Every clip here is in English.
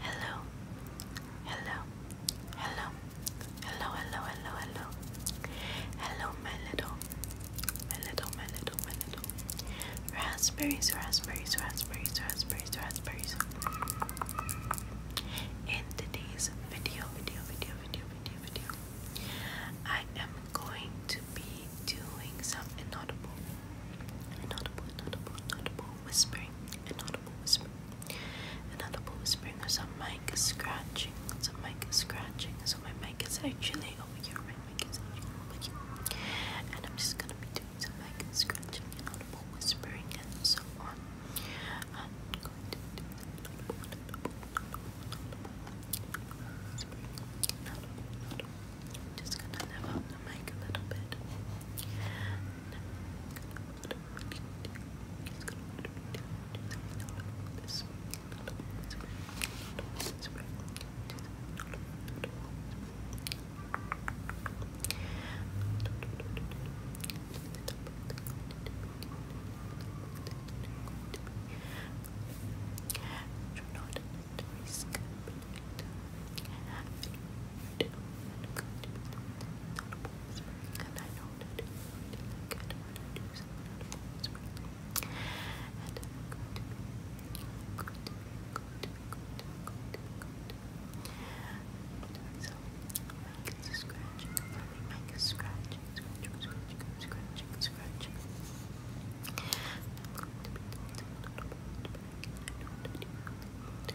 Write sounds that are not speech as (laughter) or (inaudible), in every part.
Hello, hello, hello, hello, hello, hello, hello, hello, my little, my little, my little, my little raspberries, raspberries, raspberries, raspberries, raspberries. In today's video, video, video, video, video, video, I am going to be doing some inaudible, inaudible, inaudible, inaudible whispering, inaudible whispering, inaudible whispering. My a is scratching, My a is scratching. So my mic is actually over here, my mic is actually over here. And I'm just gonna be doing some mic scratching, inaudible whispering, and so on. Just gonna level the mic a little bit. Just gonna this do not risk Scratching, scratching, scratching, scratching, scratching, scratching, scratching, scratching, scratching, scratching, scratching, scratching, scratch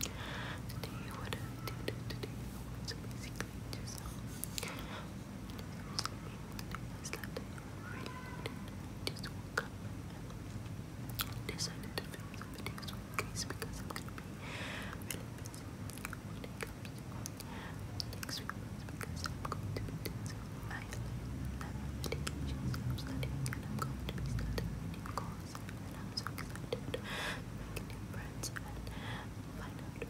Today, what I did today was basically just um, I slept really just woke up and decided to film some videos with Grace because I'm gonna be really busy when it comes to next week because I'm going to be doing some island I'm studying and I'm going to be studying new course and I'm so excited to make new friends and find out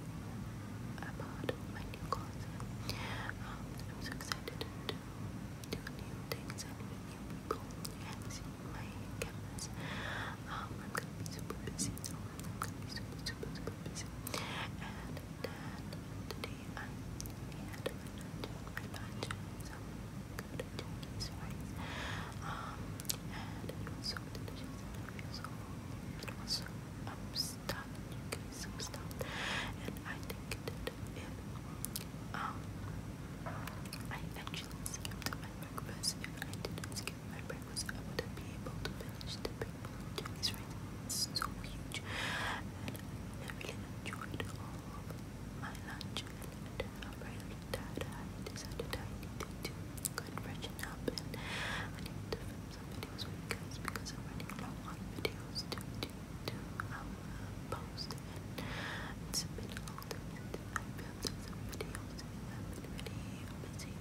about my new course. Um, I'm so excited to do new things and meet new people and see my campus. Um, I'm gonna be super busy, so I'm gonna be super, super, super busy. And then today I had my lunch, my lunch, I am um, um, stuffed, I'm stuffed. And I think if um, I actually skipped my breakfast, if I did my breakfast, I would be able to finish the big bowl It's so huge and I really enjoyed all my lunch I'm really tired. I decided I needed to go freshen up I need to film some videos you because I'm running low on videos to do to um post and it's a bit old and I filmed some videos I've busy with the new year and everything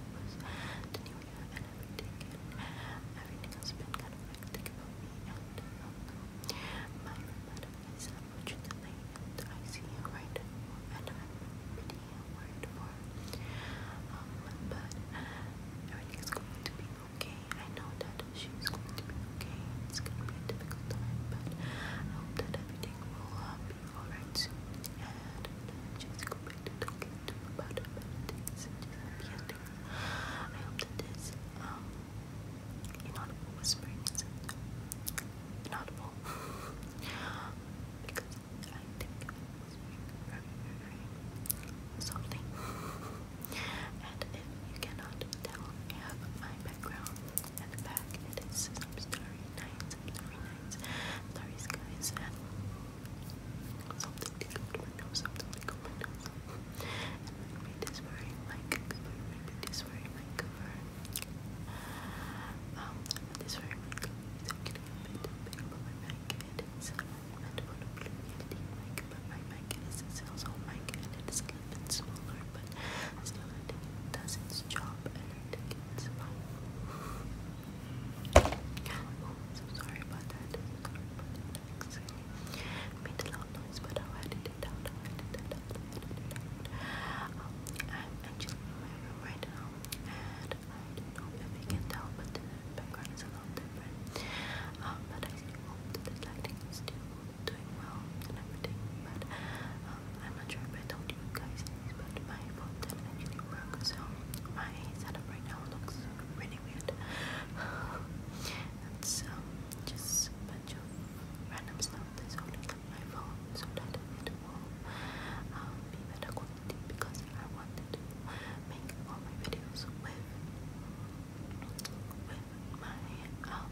everything has been kind of hectic about me um, my butterflies unfortunately and I see a right and I'm pretty worried for um but everything going to be okay. I know that she's going to be okay. It's gonna be a difficult time but I hope that everything will be alright soon and uh, just go to talking to about better things and just happy ending. I hope that this um, inaudible whisperings. Inaudible. because I think i whispering and if you cannot tell, I have my background at the back. It is some starry nights, starry nights, starry skies, and something to go something to go and my is wearing my cover. My is wearing my cover. Um, my is wearing my cover. So I'm getting a bit big, but my mic it is meant for the blue yeti mic, but my mic is a sales home mic and it is a little bit smaller, but still I think it does its job and I think it's fine. (laughs) Oh, I'm so sorry about that. Sorry about that relaxing. Made a loud noise, but I'll edit it out. i am actually in my room right now, and I don't know if you can tell, but the background is a lot different. but I still hope that this lighting is still doing well I'm not sure if I told you guys but my phone didn't so my setup right now looks really weird. That's (sighs) um, just a random stuff that's on my phone so that it will um, be better quality because I wanted to make all my videos with with my um,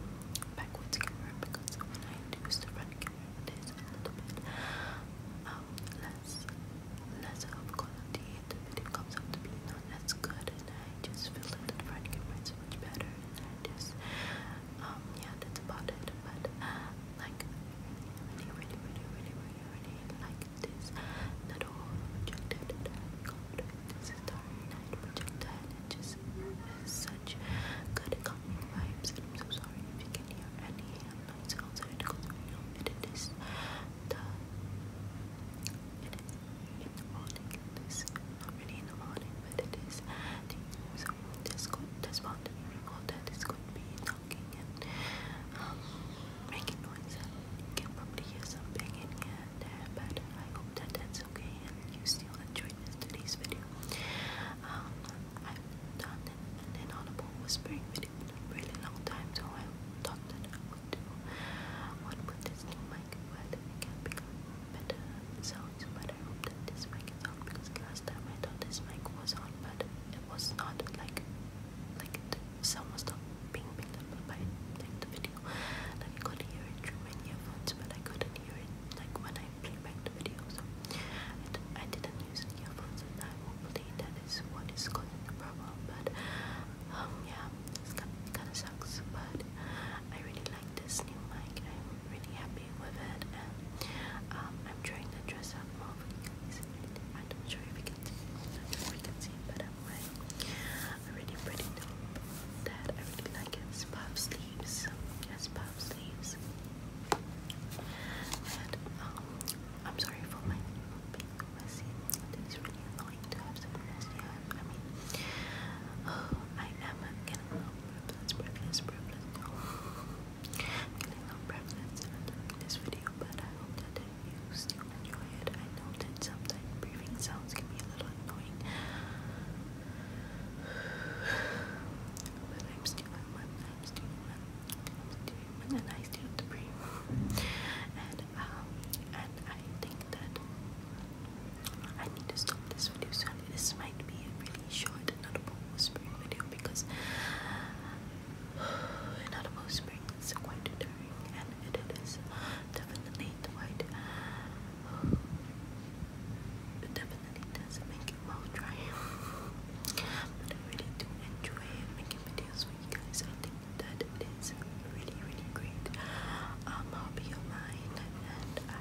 backwards camera because when I use the front camera it is a little bit um, less, less of quality the video comes out to be not that's good, and I just feel that the friend can write so much better, and I just, um, yeah, that's about it, but, uh, like, really, really, really, really, really, really like this little projector that I got, this Star Night projector, and it just is such good calming I'm so sorry if you can hear any noise outside, because I know it is the, it is in the morning. This not really in the morning, but it is. So this could this mountain recorder this could be talking and making noise. you can probably hear something in but I hope that that's okay and you still enjoyed this today's video. I've done an inaudible whispering video really long time, so I thought that I would do. I want this to my like what it can become better sounds, but I hope that this mic is on because last time I thought this mic was on, but it was not like like it someone stopped being picked up by like the video. Like I could hear it through my earphones, but I couldn't hear it like when I played back the video. So I, d I didn't use earphones, and I hopefully that is what is causing the problem. But um yeah, it's kind of sucks, but I really like this new mic. I'm really happy with it, and um, I'm trying to dress up more I'm not sure if you can see, if you can see, but I'm really pretty that I really like. It's puff sleeves, yes, puff sleeves. And um, I'm sorry for my being This is really annoying. I mean, oh, I am getting a little breathless, breathless, I'm getting a little breathless during this video, but I hope that you still enjoy it. I know that sometimes breathing sounds can be a little annoying, (sighs) but I'm still human. I'm still human. I'm still human, and I still have to breathe. (laughs) And um, and I think that. I need to stop this video soon. This might be a really short not a Audible whispering video because (sighs) Audible whispering is quite tiring and it is definitely quite white. (sighs) definitely does make it well dry. (laughs) but I really do enjoy making videos for you guys. I think that that is really, really great um, hobby of mine, and I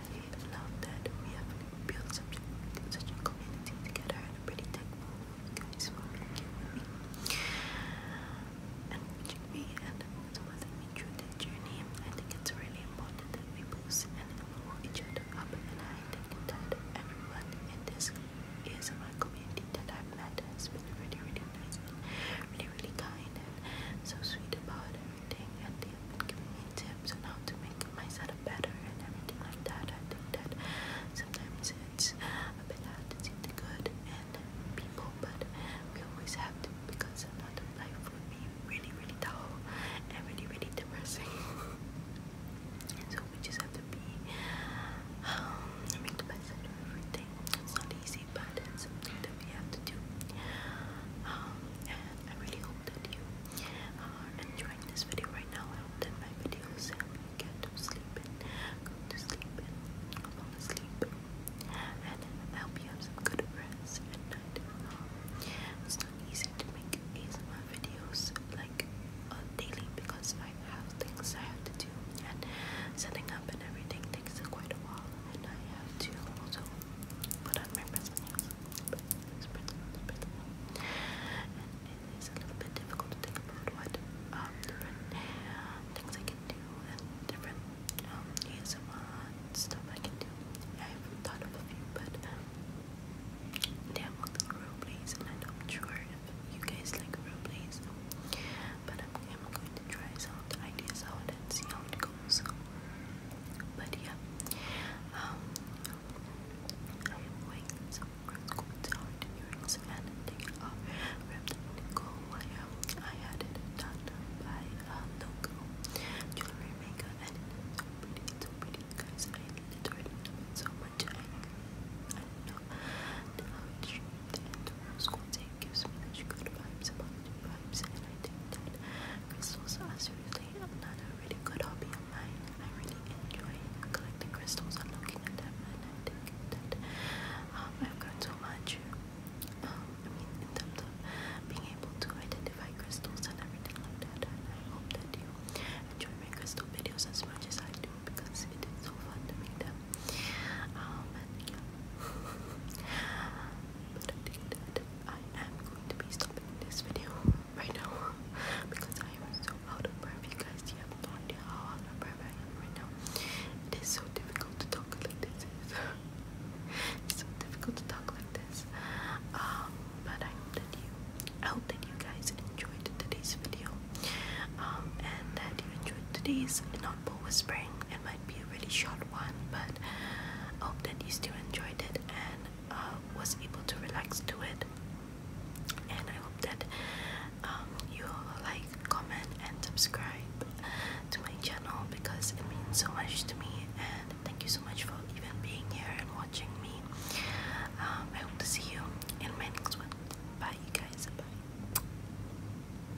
love that we have built such, such a community together and a pretty tech you guys for making me and watching me and supporting me through the journey. I think it's really important that we boost and move each other up, and I think that everyone in this is my community that I've met has been really, really nice and really, really, really kind and so sweet about everything. And they've been giving me tips on how to make my setup better and everything like that. I think that sometimes it's a bit hard to see the good in people, but we always have to because another life would be really, really dull and really, really depressing. and (laughs) so we just have to be, um, make the best out of everything. It's not easy but it's something that we have to do. Um, and I really hope that you are enjoying this video right now. I hope that my videos help you get to sleep and go to sleep and fall asleep, and I hope you have some good rest at night. it's not easy to make ASMR videos like uh, daily because I have things I have to do and setting up and everything takes quite a while and I have to also put on my present nails. And it is a little bit difficult to think about what um, different things I can do and different um, stuff I can do. I've thought of a few, but um, they have all the role and I'm sure you guys like role plays but I'm, going to try some ideas out and see how it goes. But yeah, um, I am going some coats out, earrings, and they are wrapped in gold wire. I had it done by uh, um, Loco Jewelry Maker, and it's so pretty, it's so pretty, guys. I love it so much. I, know how it shaped and the rose gives me such good vibes, positive vibes, and I think that crystals are seriously another really good hobby of mine. I really enjoy collecting crystals and looking at them, um, I've grown so much. Um, I mean, in terms of being able to identify crystals and everything like that, I hope that you enjoy my crystal videos as much as I do because it is so fun to make them but I think that I am going to be stopping this video right now because I am so out of breath. You guys, you have no idea how out of breath I am right now. It is so difficult to talk like this. it's so difficult to talk like this. Um, but I hope that you, I hope that you guys enjoyed today's video. Um, and that you enjoyed today's Notable Whispering. It might be a really short one, but I hope that you still enjoyed it and uh, was able to relax to it. And I hope that um, you like, comment, and subscribe to my channel because it means so much to me. And thank you so much for even being here and watching me. Um, I hope to see you in my next one. Bye, you guys. Bye.